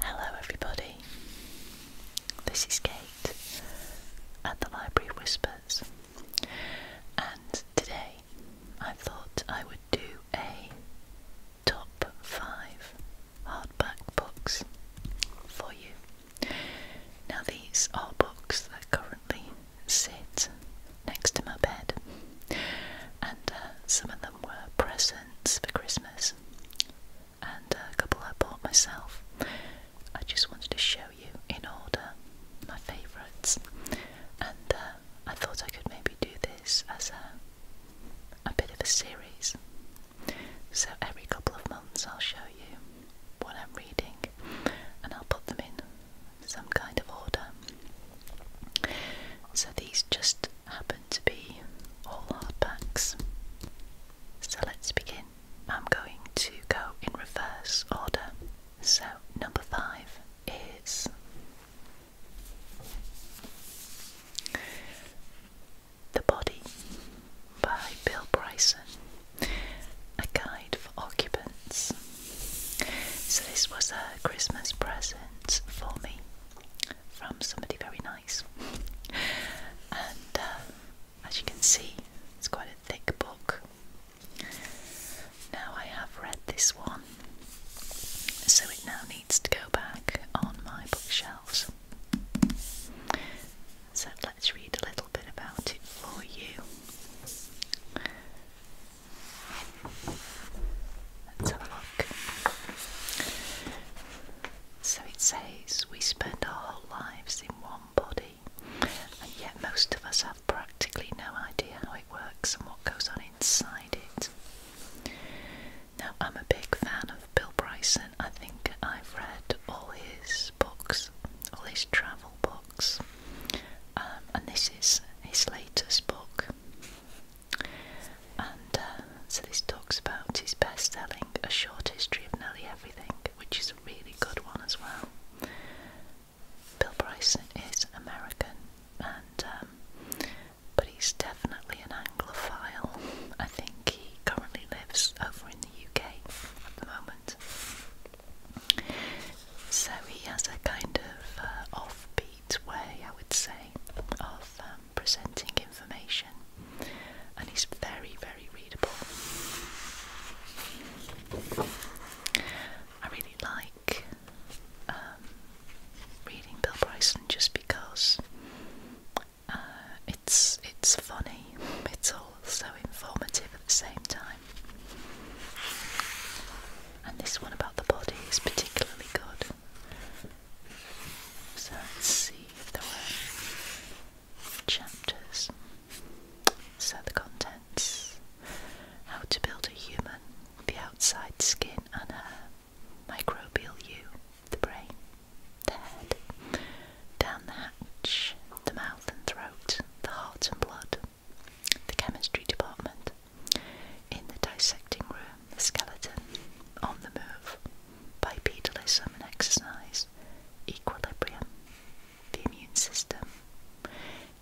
Hello, everybody. This is Kate at the Library Whispers, and today I thought I would do a top five hardback books for you. Now, these are books that currently sit next to my bed, and uh, some of them were present for Christmas, and a couple I bought myself. I just wanted to show you in order my favourites, and uh, I thought I could maybe do this as a, a bit of a series. So every couple of months I'll show you what I'm reading, and I'll put them in some kind of order. So these just happen to be all hardbacks. So let's begin. I'm going to go in reverse order. So, number five is The Body by Bill Bryson, a guide for occupants. So, this was a Christmas present for me from somebody very nice. and uh, as you can see, it's quite a thick book. Now I have read this one, so it now needs to go back on my bookshelves. So let's read a little bit about it for you. Let's have a look. So it says we spend our whole lives in one body, and yet most of us have practically no idea how it works and what goes on inside it. Now, I'm a big fan of Bill Bryson. I think I've read all his books, all his travel books, um, and this is his latest book. And uh, so this talks about his best-selling A Short History of Nearly Everything, which is a really good one as well. Bill Bryson is American, and um, but he's definitely an Anglophile. I think he currently lives over in the UK at the moment. So he has a kind of uh, offbeat way, I would say, of um, presenting information, and it's very, very readable. I really like um, reading Bill Bryson just because uh, it's it's funny, it's also informative at the same time. And this one about the body is particularly good. So let's see if there were chapters. So the contents How to Build a Human, the Outside Skin and Hair, Microbial You, the Brain, the Head, Down the Hatch, the Mouth and Throat, the Heart and Blood, the Chemistry Department, in the dissecting room, the skeleton, on the move, bipedalism and exercise, equilibrium, the immune system,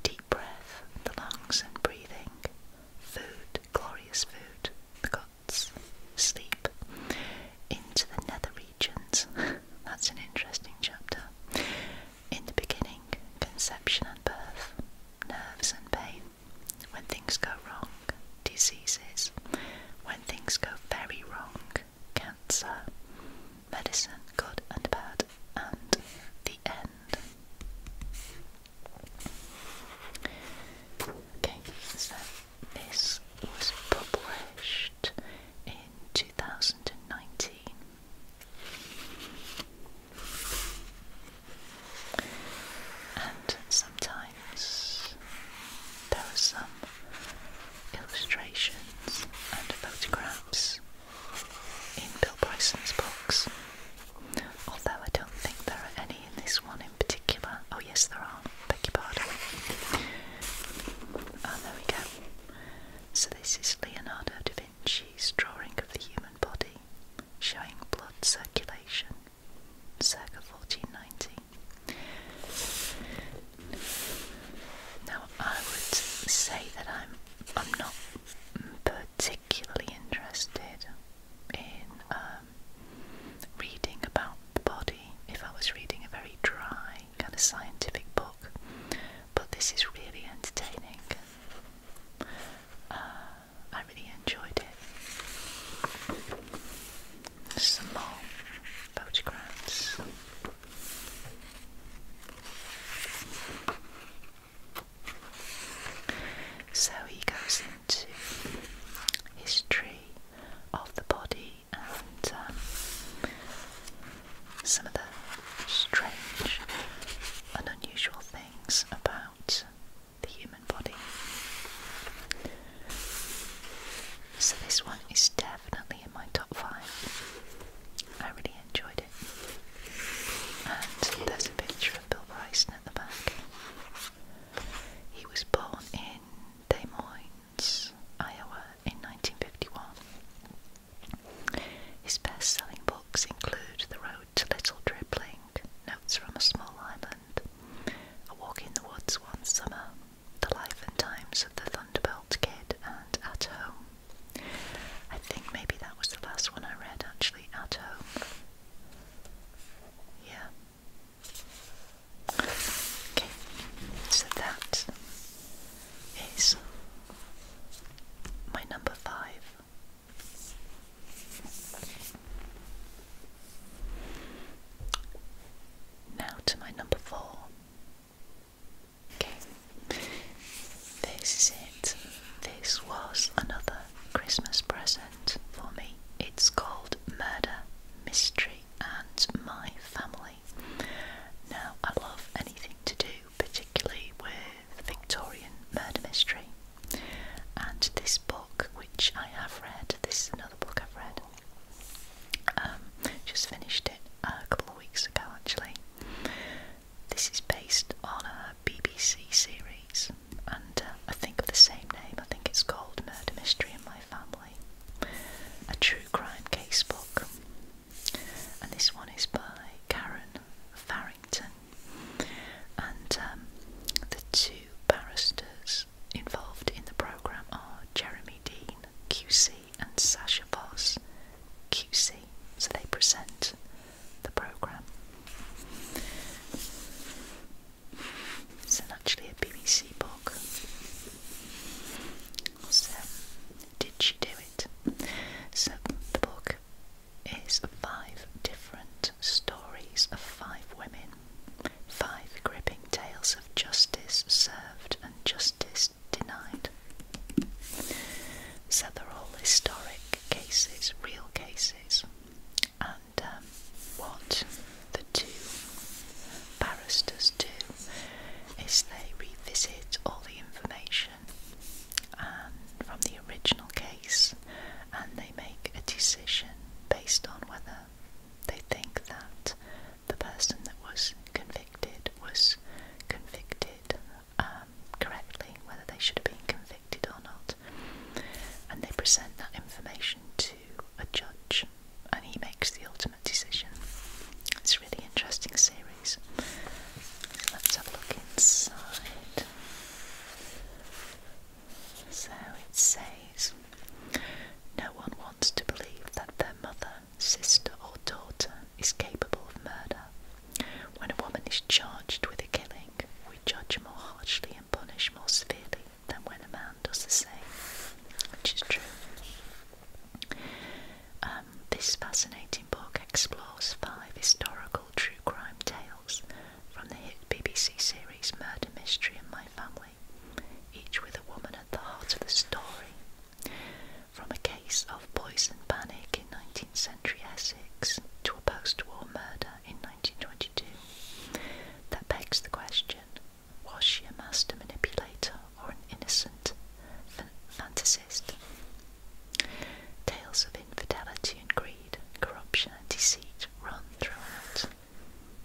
deep breath, the lungs and breathing, food, glorious food, the guts, sleep, into the nether regions. That's an interesting chapter. In the beginning, conception and birth, nerves and pain, when things go wrong, diseases, when things go very wrong, cancer, medicine, good and bad, and the end. Okay, so this was published in 2019. And sometimes there are some illustrations and photographs in Bill Bryson's books, although I don't think there are any in this one in particular. Oh, yes, there are. Beg your pardon. Oh, there we go. So, this is Leonardo da Vinci's drawing of the human body, showing blood circulation circa 1490. Now, I would say that I'm I'm not particularly interested in um, reading about the body. If I was reading a very dry kind of scientific book, but this is really entertaining. Uh, I really enjoyed it. Some more photographs. So he goes into history of the body and um, some of the strange and unusual things about the human body. So this one is definitely in my top five. I really enjoyed it. And there's a picture of Bill Bryson at the back. He was born in Des Moines, Iowa in 1951. His best selling books include The Road to little dribbling, notes from a small island, a walk in the woods one summer, the life and times of the Thunderbolt Kid, and At Home. I think maybe that was the last one I read actually, At Home. Yeah. Okay, so that is my number five. Now to my number four. Okay, this is it. This was another Christmas present for me. It's called Murder, Mystery, and My Family. Now, I love anything to do, particularly with Victorian murder mystery. And this book, which I have read, this is another book I've read, um, just finished it uh, a couple of weeks ago actually. This is based on a BBC series, and uh, I think of the same name. I think it's called Murder Mystery in My Family, a true crime case book. And this one is by Karen Farrington, and um, the two barristers involved in the programme are Jeremy Dean, QC, and Sasha Voss, QC. So they present the programme. It's actually a BBC book. So, did she do it? So the book is five different stories of five women, five gripping tales of justice served and justice denied. So they're all historic cases, real cases, and um, what the two barristers do is they revisit all the information um, from the original case and they they make a decision based on whether they think that the person that was convicted was convicted um, correctly, whether they should have been convicted or not. And they present that information to a judge, and he makes the ultimate decision. It's a really interesting series. Let's have a look inside. So it says, No one wants to believe that their mother, sister, or daughter is capable of murder. When a woman is charged with a killing, we judge more harshly and punish more severely than when a man does the same, which is true. Um, this fascinating book explores five historical true crime tales from the hit BBC series Murder Mystery and My Family, each with a woman at the heart of the story. From a case of poison panic in 19th century Essex to a post war murder in 1922, that begs the question was she a master manipulator or an innocent fantasist? Tales of infidelity and greed, corruption and deceit run throughout.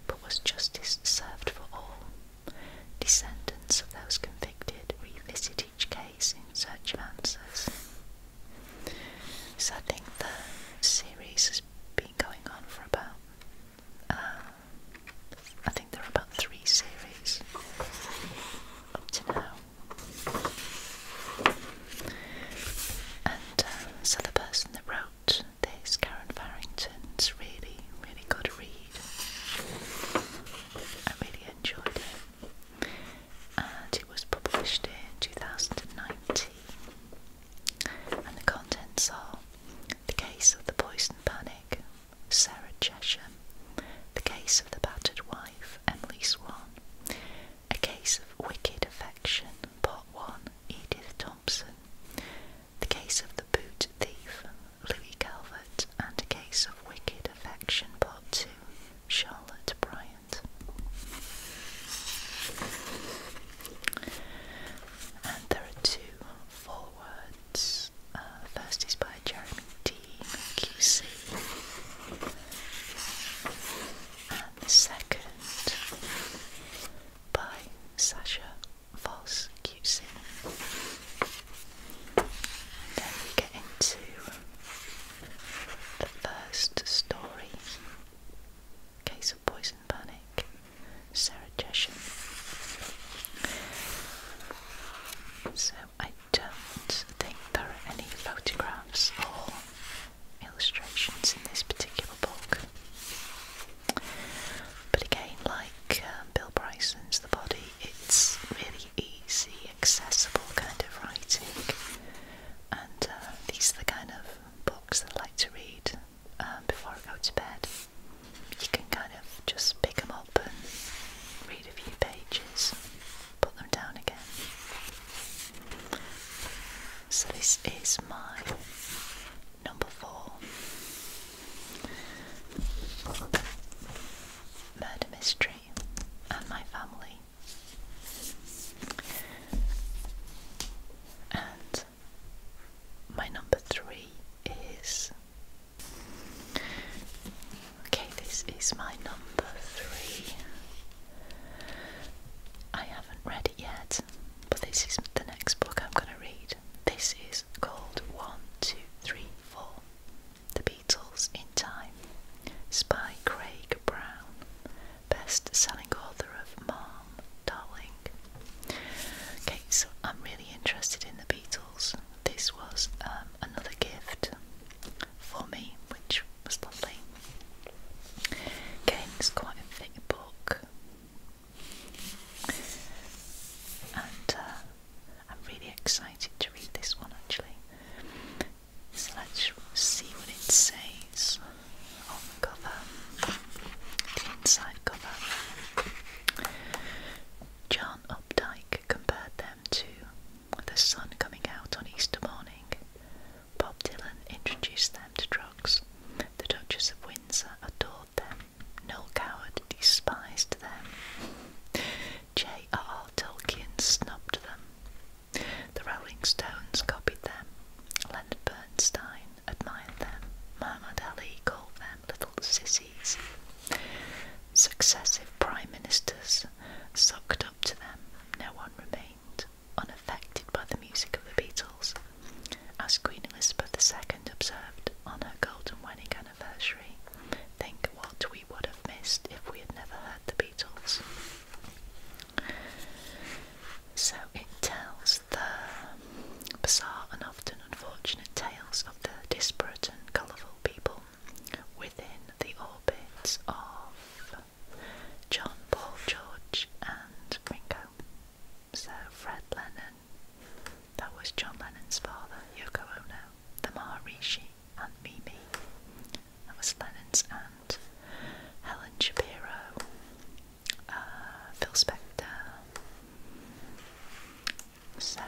But was justice served for all? Descendants of those convicted revisit each case in search of answers. So I think the series has been going on for about, um, I think there are about three series up to now. And um, so the person that wrote this, Karen Farrington, it's really, really good read. I really enjoyed it. And it was published in 2019. And the contents are The Case of the Poison Panic, Sarah Chesham, The Case of the Battered Wife, Emily Swan, a Case of Wicked Affection, Part 1, Edith Thompson. The Case of the Boot Thief, Louis Calvert. And A Case of Wicked Affection, Part 2, Charlotte Bryant. And there are two forwards. Uh, first is by Jeremy Dean QC, the second by Sasha Voss QC. And then we get into the first story Case of Poison Panic, Sarah Chesham. So I don't think there are any photographs illustrations in this particular book. But again, like uh, Bill Bryson's The Body, it's really easy, accessible kind of writing, and uh, these are the kind of books that I like to read um, before I go to bed. You can kind of just pick them up and read a few pages, put them down again. So this is my number four murder mystery and my family. And my number three is okay, this is my number three. I haven't read it yet, but this is the next book I'm going to read. This is called One, Two, Three, Four The Beatles in Time. It's by Craig Brown, best selling author of Mom, Darling. Okay, so I'm really interested in the Beatles. This was um, another gift for me, which was lovely. Again, it's quite a thick book, and uh, I'm really excited to read this one actually. So let's see what it says on the cover, the inside cover. John Updike compared them to the sun coming out on Easter morning Bob Dylan introduced them to drugs. The Duchess of Windsor adored them. No Coward despised them. J. R. Tolkien snubbed them. The Rolling Stones copied them. Leonard Bernstein admired them. Muhammad Ali called them little sissies. Successive prime ministers sucked up to them. No one remained unaffected by the music of the Beatles, as Queen Elizabeth II observed on her golden wedding anniversary. Think what we would have missed if we had never heard the Beatles. So it tells the bizarre and often unfortunate tales of the disparate and colourful people within the orbits of John, Paul, George, and Ringo. So Fred Lennon, that was John Lennon's father, Yoko Ono, the Maharishi, and Mimi. That was Lennon's aunt, Helen Shapiro, uh, Phil Spector. So,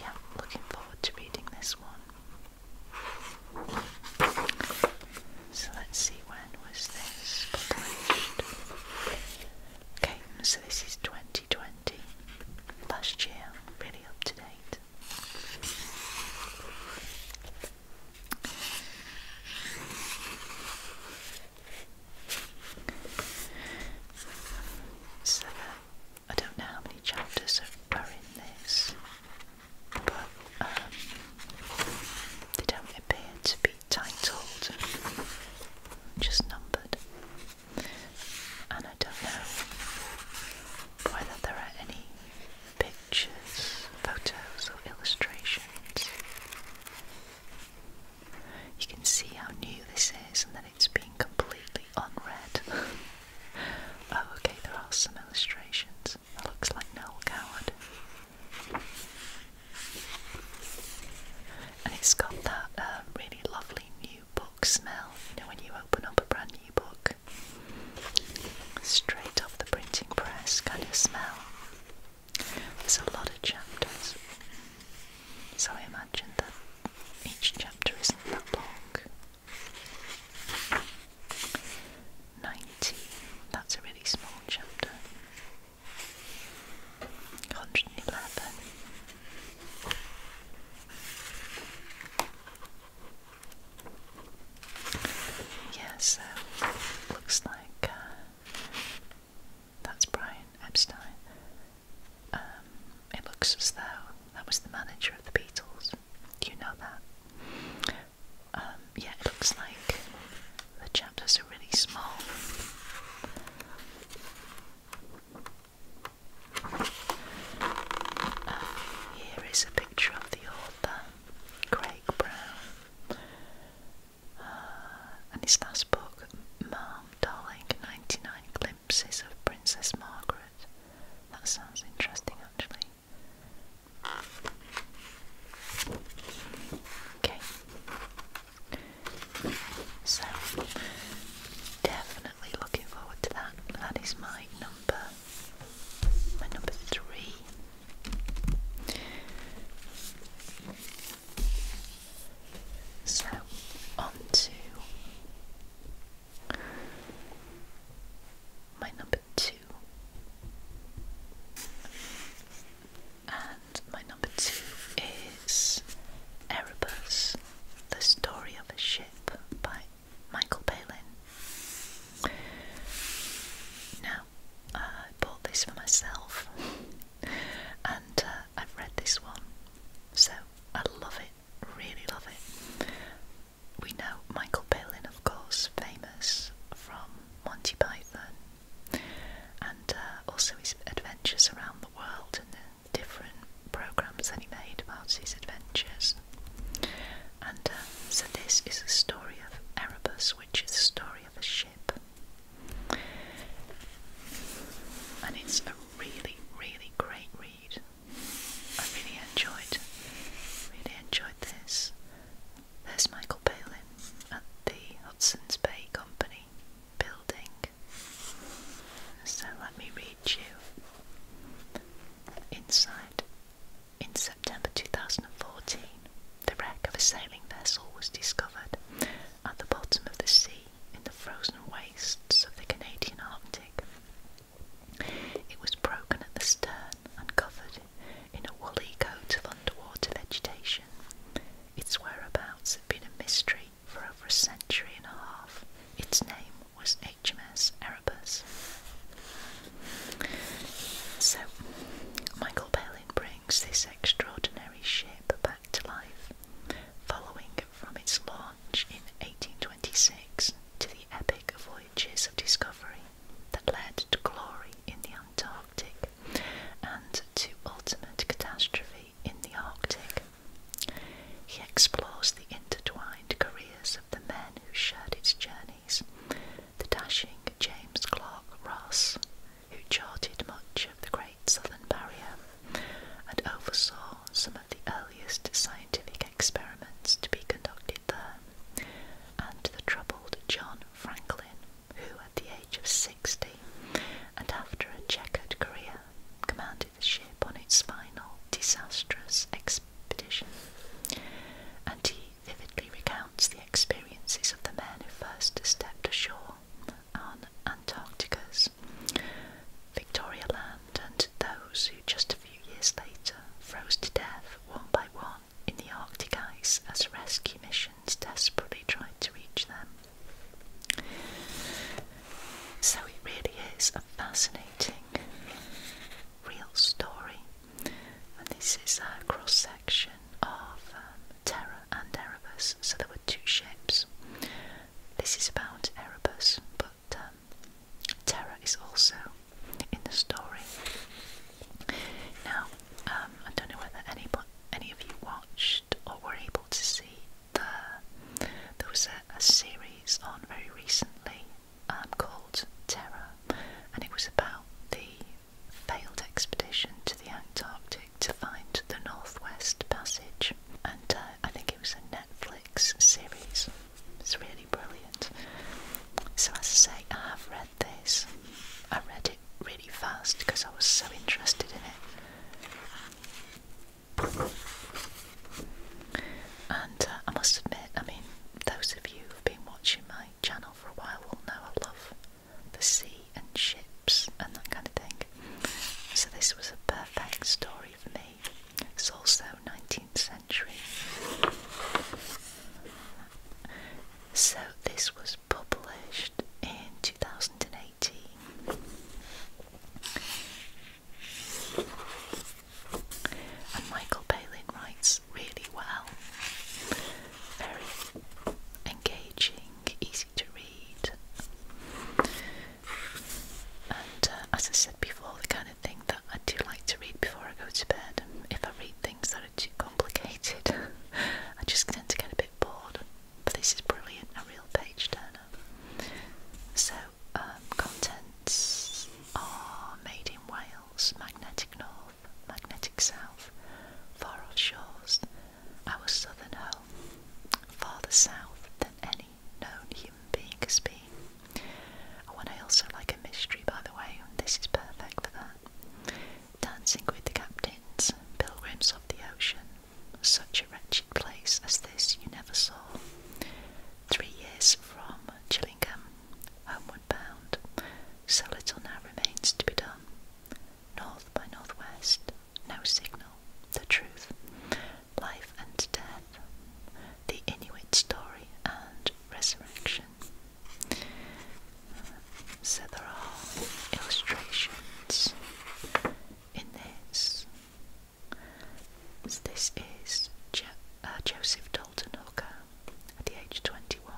yeah, looking forward to reading this one. So let's see when was this published. Okay, so this is 2020, last year, really up to date. So, I don't know how many chapters are in this but um, they don't appear to be titled, just numbered. And I don't know whether there are any pictures, photos, or illustrations. You can see how new this is and that it's been completely unread. Oh, okay, there are some illustrations. That looks like Noel Coward. And it's got that um, really lovely new book smell, you know, when you open up a brand new book. Straight off the printing press kind of smell. There's a lot of chapters. So I imagine that each chapter isn't that long. Ninety, that's a really small chapter. Hundred and eleven. Yeah, looks like uh, that's Brian Epstein. Um, it looks as though that was the manager of the Beatles. Do you know that? Um, yeah, it looks like the chapters are really small. Um, here is a picture of the author, Craig Brown, uh, and his last book, Mom, Darling 99 Glimpses of Princess Margaret. That sounds interesting actually. Okay. So definitely looking forward to that. That is my number my number three. So on to my number two. And my number two is Erebus, The Story of a Ship by Michael Palin. Now, uh, I bought this for myself and uh, I've read this one, so I love it, really love it we know Michael Palin, of course, famous from Monty Python, and uh, also his adventures around the world and the different programs that he made about his adventures. And uh, so this is a story of Erebus, which is the story of a ship, and it's a really, really great read. I really enjoyed, really enjoyed this. There's Michael Palin at the Hudson's Bay Company building. So let me read you. Inside, in September 2014, the wreck of a sailing vessel was discovered at the bottom of the sea in the frozen wastes of the Canadian Arctic. It was broken at the stern and covered in a woolly coat of underwater vegetation. Its whereabouts had been a mystery for over a century and a half. Its name was HMS Erebus. So, Michael Palin brings this extraordinary ship back to life, following from its launch in 1826 to the epic epic voyages of discovery that led to glory in the Antarctic and to ultimate catastrophe in the Arctic. He explores the intertwined careers of the men who shared its journeys, the dashing James Clark Ross, who charted much of the Great Southern Barrier and oversaw some of the earliest scientific scientific experiments to be conducted there, and the troubled John Franklin, who at the age of 60 and after a checkered career commanded the ship on its final disastrous expedition. And he vividly recounts the experiences of the men who first stepped ashore on Antarctica's Victoria Land and those just a few years later froze to death one by one in the Arctic ice as rescue missions desperately tried to reach them. So it really is a fascinating real story, and this is a cross section of um, Terra and Erebus. So there were two ships. This is about Erebus, but but um, Terra is also in the story. Now, um, I don't know whether any, any of you watched or were able to see the, there was a, series on very recently um, called Terra, and it was about the failed expedition to the Antarctic to find the Northwest Passage, and uh, I think it was a Netflix series. It's really brilliant. So, I say, I have read this. I read it really fast because I was so interested in it. And uh, I must admit, I mean, those of you who've been watching my channel for a while will know I love the sea and ships and that kind of thing. So, this was a perfect story for me. It's also nineteenth century. So, this was published in 2018. And Michael Palin writes really well, very engaging, easy to read. And uh, as I said before, the kind of thing that I do like to read before I go to bed. If I read things that are too complicated, I just tend to get a bit bored. But this is brilliant, a real page turner. So, um, contents are made in Wales, magnetic north, magnetic south, far off shores, our southern home, farther south than any known human as being. I also like a mystery, by the way, this is perfect for that. Dancing with the captains, pilgrims of the ocean, such a wretched place as this you never saw. Three years from Chillingham, homeward bound, so little now remains to be done. North by northwest, no signal, the truth, life and death the Inuit story, and resurrection. So there are illustrations in this. this is uh, Joseph Dalton Hooker at the age of 21,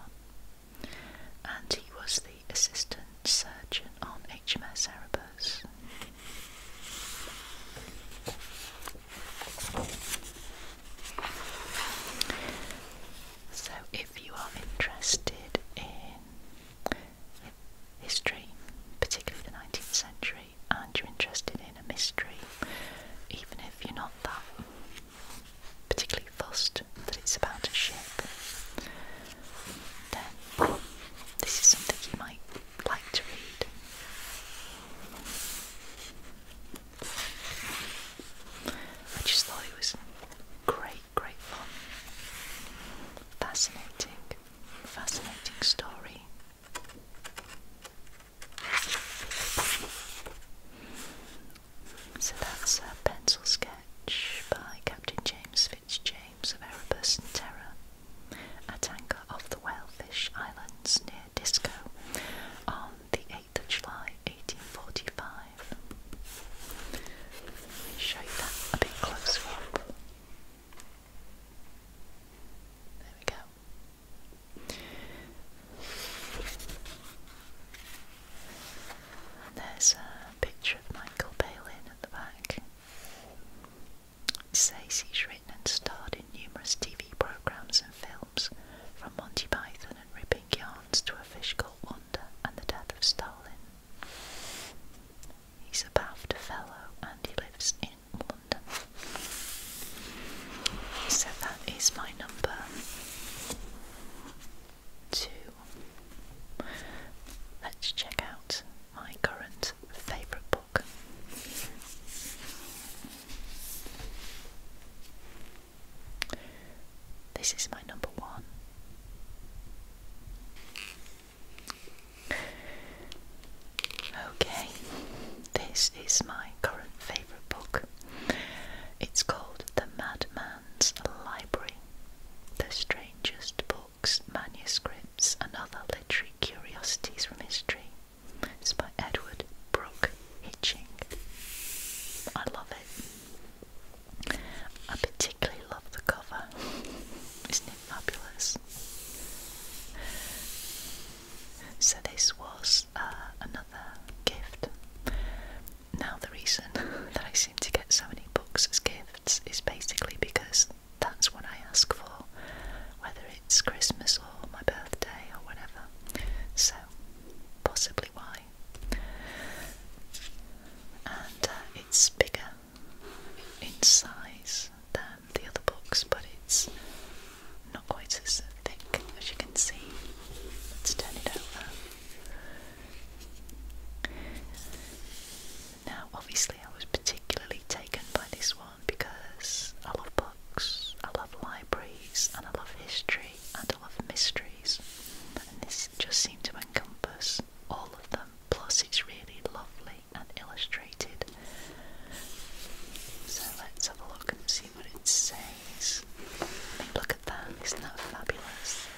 and he was the assistant surgeon on HMS Erebus. So, if you are interested in history, particularly the 19th century, and you're interested in a mystery, even if you're not that particularly fussed that it's about a ship, then this is something you might like to read. I just thought it was great, great fun. Fascinating, fascinating story. So that's a pencil sketch by Captain James Fitzjames of Erebus and Terror at anchor off the Whalefish Islands near Disco the 8th of July 1845. Let me show you that a bit closer up. There we go. there's a picture of Michael Palin at the back. It says he's written and starred numerous TV programs and films, from Monty Python and ripping yarns to A Fish Called Wonder and The Death of Stalin. He's a Bath fellow and he lives in London. So that is my number two. Let's check out my current favourite book. This is my number one. Okay, this is my current favourite book. It's called The Madman's Library The Strangest Books, Manuscripts, and Other Literary Curiosities from History it's by Edward Brooke Hitching. I love it. I particularly love the cover. Isn't it fabulous? So this was uh, another gift. Now the reason that I seem to get so many books as gifts is basically because that's what I ask for, whether it's Christmas or my birthday or whatever. So, possibly why. And uh, it's bigger in size than the other books, but it's not quite as thick as you can see. Let's turn it over. Now, obviously, I was particularly taken by this one because I love books, I love libraries, and I love history, and I love mysteries. And this just seemed to encompass all of them, plus, it's really lovely and illustrated. So, let's have a look and see what it says. look at that, isn't that fabulous?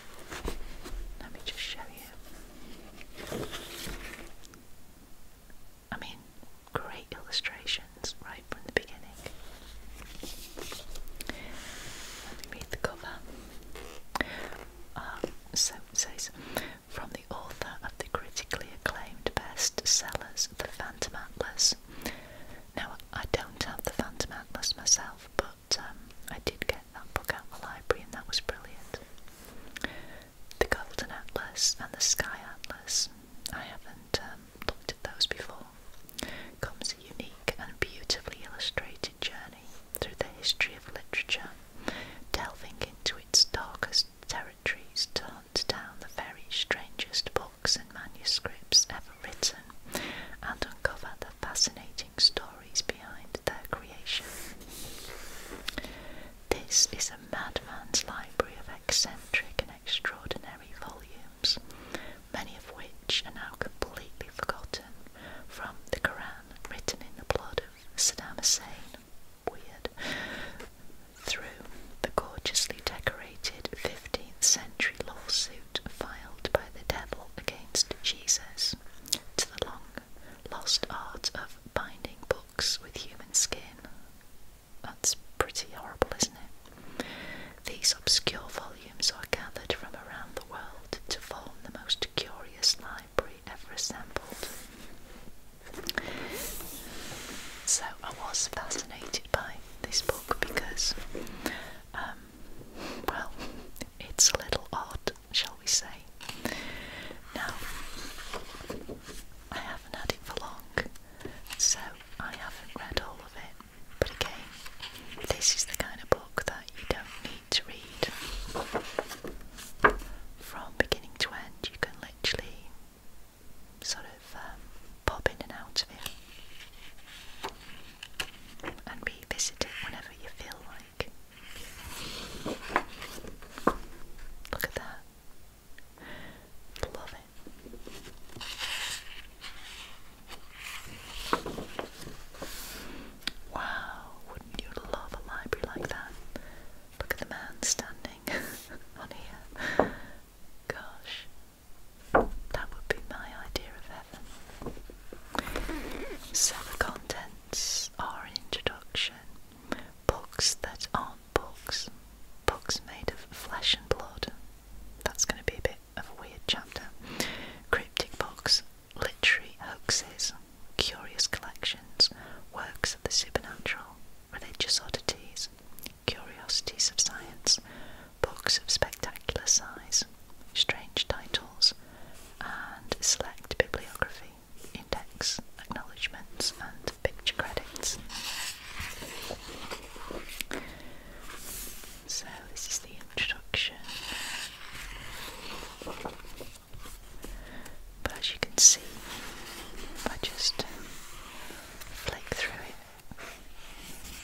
Let me just show you. I mean, great illustrations right from the beginning. Let the cover. Um, it says, from the author of the critically acclaimed best The Phantom Atlas. Now, I don't have The Phantom Atlas myself, but um, I did get that book out the library and that was brilliant. The Golden Atlas and the Sky Atlas. I haven't um, looked at those before, comes a unique and beautifully illustrated journey through the history of literature, delving into its darkest territories to hunt down the very strangest books and manuscripts ever written and uncover the fascinating stories behind their creation. This is a madman's library of eccentric extraordinary volumes, many of which are now completely forgotten from the Quran, written in the blood of Saddam Hussein, weird, through the gorgeously decorated 15th century lawsuit filed by the devil against Jesus, to the long lost art of binding books with human skin, that's pretty horrible, isn't it? These obscure volumes are gathered from around the world to form the most curious library ever assembled. So I was fascinated by this book because, um, well, it's a little odd, shall we say. Now, I haven't had it for long, so I haven't read all of it. But again, this is the kind of book that you don't need to read from beginning to end. You can literally sort of um, pop in and out of it and revisit it whenever you feel like. Look at that. Love it. Wow, wouldn't you love a library like that? Look at the man standing on here. Gosh, that would be my idea of heaven. So the contents are an introduction, books that are Books, Bugs made of flesh and blood. That's going to be a bit of a weird chapter. Cryptic books, literary hoaxes, curious collections, works of the supernatural, religious oddities, curiosities of science, books of spectacular size, strange titles, and select bibliography, index, acknowledgements, and picture credits. So, this is the introduction. But as you can see, if I just flick through it,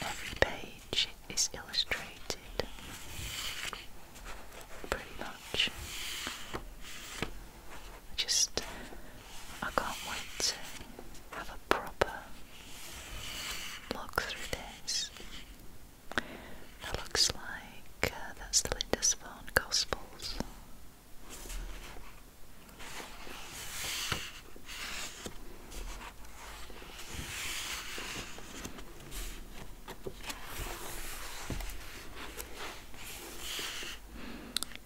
every page is illustrated pretty much. I just I can't wait to have a proper look through this. That looks like uh, that's the Lindisfarne Gospels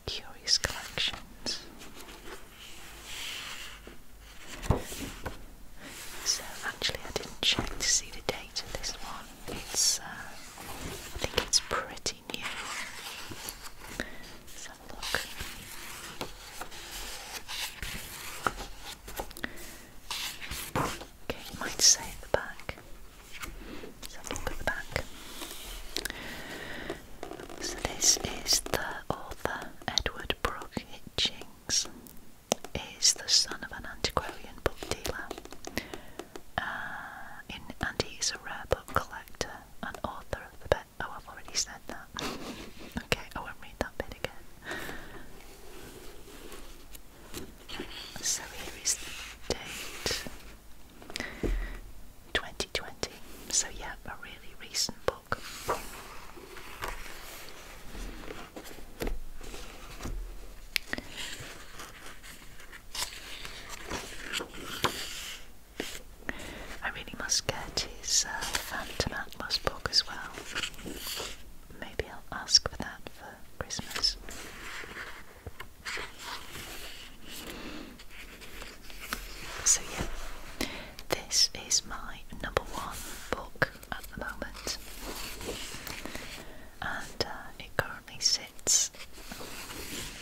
curious collections. So actually, I didn't check to see the date of this one. It's uh, I think it's pretty new. let look. Okay, might say at the back. let look at the back. So this is the author Edward Brooke Hitchings. Is the son of an antiquarian book dealer, uh, in, and he's a rare book collector and author of the book. Oh, I've already said that. okay, I won't read that bit again. So here is the date. 20 2020. So, yeah, a really recent book. I really must get his uh, Phantom Atlas book as well. Maybe I'll ask for that for Christmas. So yeah, this is my number one book at the moment, and uh, it currently sits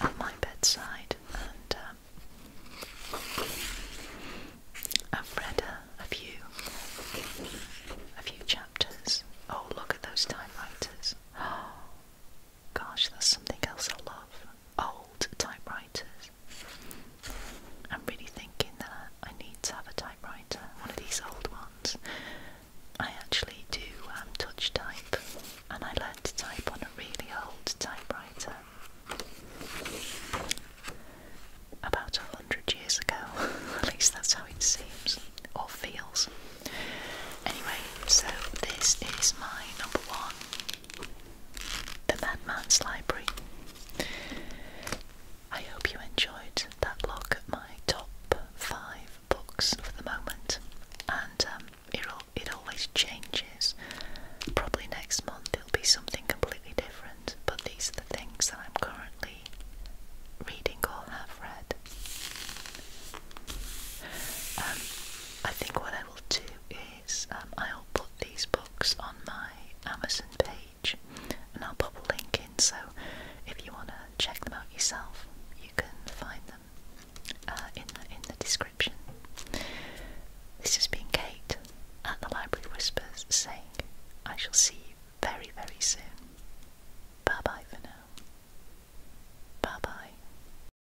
on my bedside. And um, I've read a, few, a few chapters. Oh, look at those typewriters! Oh, Gosh, that's something else I love. Old typewriters. I'm really thinking that I need to have a typewriter, one of these old ones. I actually do um, touch type, and I learned to type on a really old typewriter about a hundred years ago. At least that's how it seems or feels. Anyway, so this is my number one the Madman's Library. I hope you enjoyed that look at my top five books for the moment, and um, it all, it always changes. Probably next month it'll be something completely different, but these are the things that I'm currently reading or have read. Um, I think what I will do is. Um, I'll put these books on my Amazon page and I'll put a link in so if you want to check them out yourself you can find them uh, in, the, in the description. This has been Kate at the Library Whispers saying I shall see you very very soon. Bye bye for now. Bye bye.